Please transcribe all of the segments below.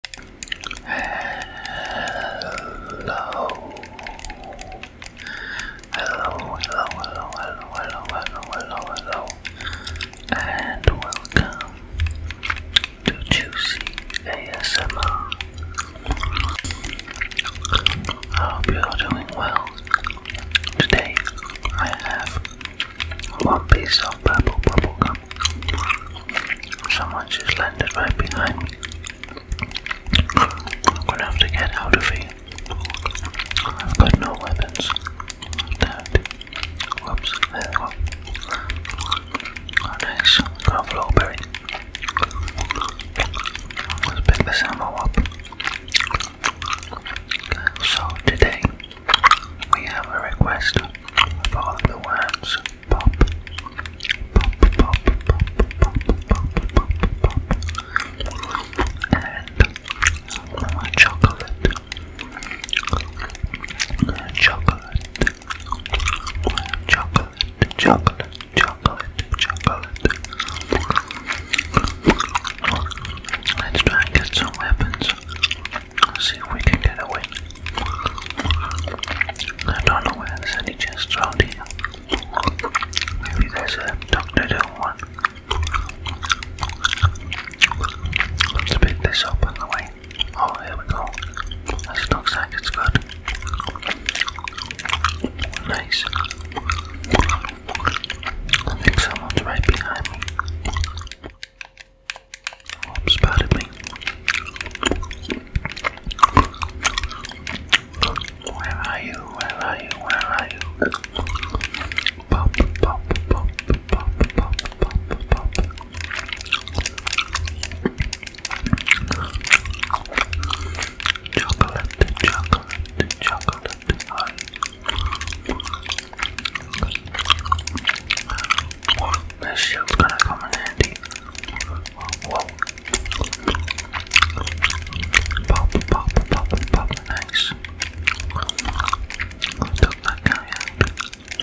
Hello. Hello, hello, hello, hello, hello, hello, hello, and welcome to Juicy ASMR. I hope you are doing well. Today I have one piece of purple bubblegum. Someone just landed right behind me. I'm gonna have to get out of here. I've got no weapons. That. Whoops, there we go. Oh, nice. Let's pick this ammo up. So, today we have a request for all the worms pop, pop, pop, pop, pop, pop, pop, pop, and chocolate, chocolate, chocolate, chocolate, chocolate, chocolate. Let's try and get some weapons see if we can get away. I don't know whether there's any chests around here. Maybe there's a Doctor Doom one. Let's pick this up on the way. Oh, here we go. This looks like it's good. Nice. I think someone's right behind me. Oh, I'm proud me. Where are you? Where are you? Where are you? Pop, pop, pop, pop, pop, pop, pop. Chocolate, chocolate, chocolate, this shield's gonna come in handy. Whoa. Pop, pop, pop, pop, nice. I took that guy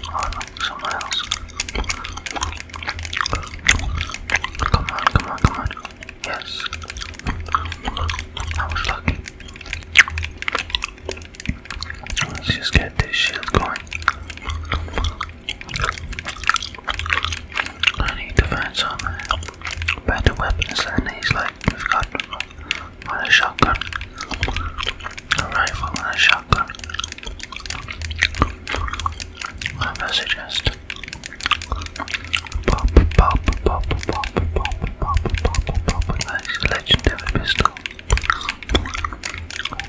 Come on, come on, come on. Yes. I was lucky. Let's just get this shit going. I need to find some better weapons than these, like we've got a shotgun, a rifle and a shotgun. What I suggest? Pop, pop, pop, pop, pop, pop, pop, pop, pop, nice legendary pistol.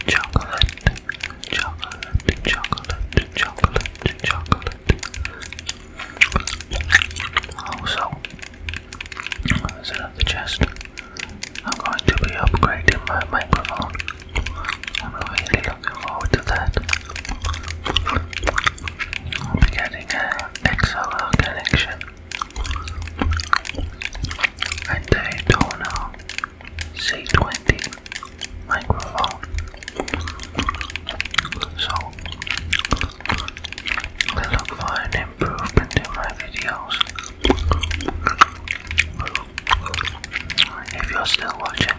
Chocolate, chocolate, chocolate, chocolate, chocolate. Also, another chest, I'm going to be upgrading my microphone. I'm really looking forward to that. I'll be getting an XLR connection and C20 microphone. So, I look for an improvement in my videos. If you're still watching,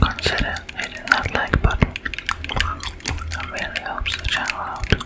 consider hitting that like button. It really helps the channel out.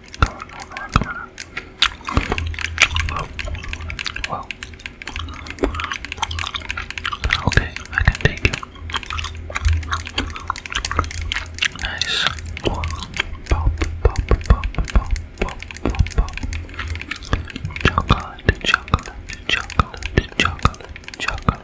Come on, come on, come on. Whoa. Whoa. Okay, I can take you. Nice. Pop, pop, pop, pop, pop, pop, pop. Chocolate, chocolate, chocolate, chocolate, chocolate.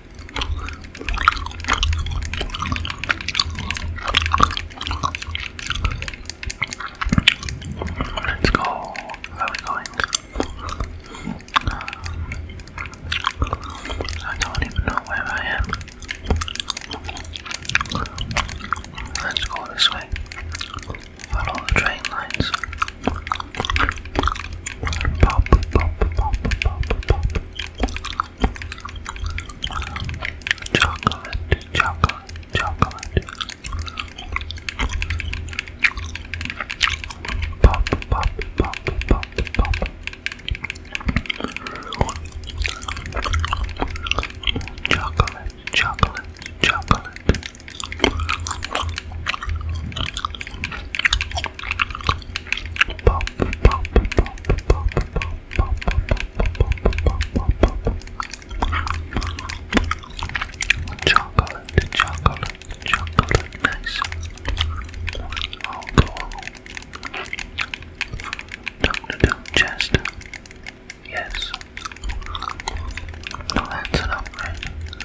Let's go. Where are we going? I don't even know where I am. Let's go this way. Follow the train lines. Chocolate, chocolate, chocolate. Pop, pop, pop, pop, pop. Chocolate, chocolate, chocolate. Chocolate, chocolate, chocolate, nice. Alcohol. Doctor Chest. Yes. No, that's an upgrade.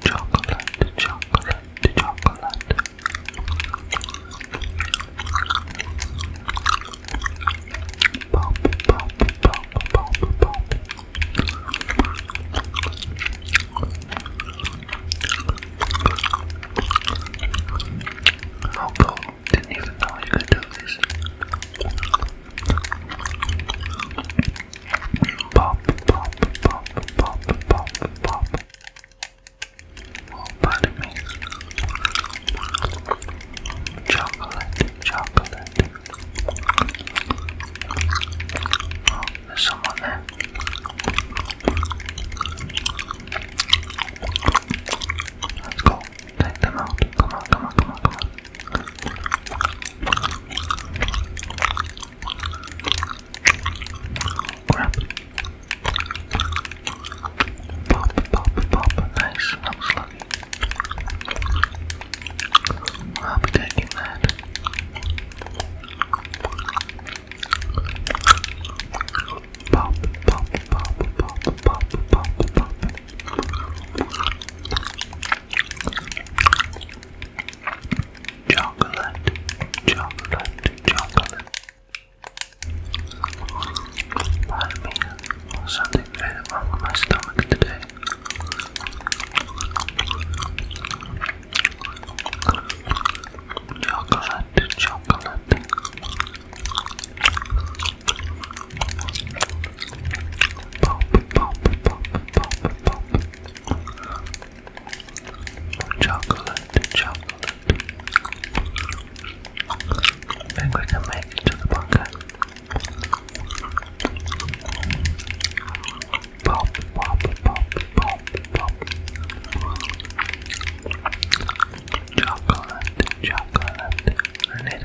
chocolate, chocolate, chocolate. Pop, pop, pop, pop, pop. Oh, cool. Didn't even know you could do this. Pop, pop, pop, pop, pop, pop. Oh, pardon me. Chocolate, chocolate. Oh, there's someone there. Let's go. Take them out. Come on, come on, come on, come on. Crap. Pop, pop, pop. Nice. I was lucky. I'll be taking that. Pop, pop, pop, pop, pop, pop, pop chocolate, chocolate, chocolate. Pardon me, something very wrong with my stomach today. Chocolate, chocolate. Pop, pop, pop, pop, pop chocolate, chocolate. And we make it to the bunker. Pop, pop, pop, pop, pop. Chocolate, chocolate. I need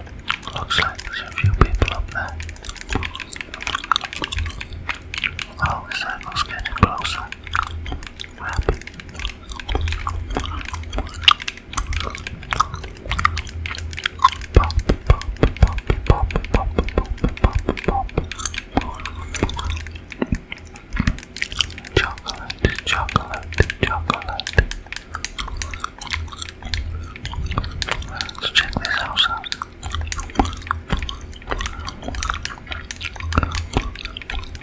Looks like there's a few people up there. Oh, the circle's getting closer. Chocolate, chocolate, chocolate. Let's check this house out.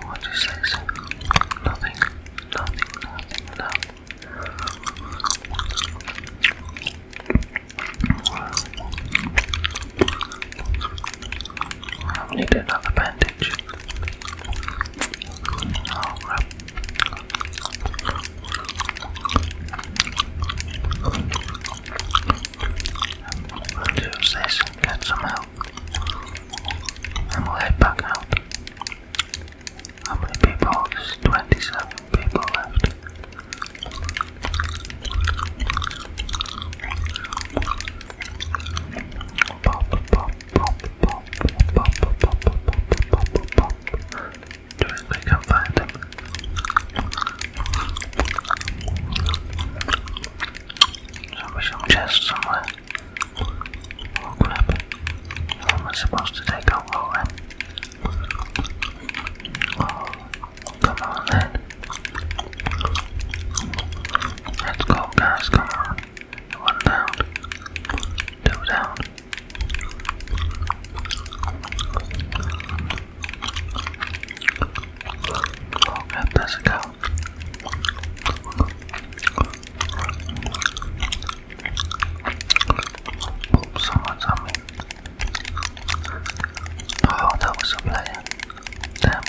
What is this? Nothing. Nothing, nothing, nothing. I need another bandage. Oh, We'll use this get some help. And we'll head back out. How many people? 27 people left. Pop, pop, Doing we can find them. There'll be some somewhere. Oh crap. What am supposed to take out all come on Let's go guys, come on. One down. Two down. How it go? on me. Oh, that was a player. Damn.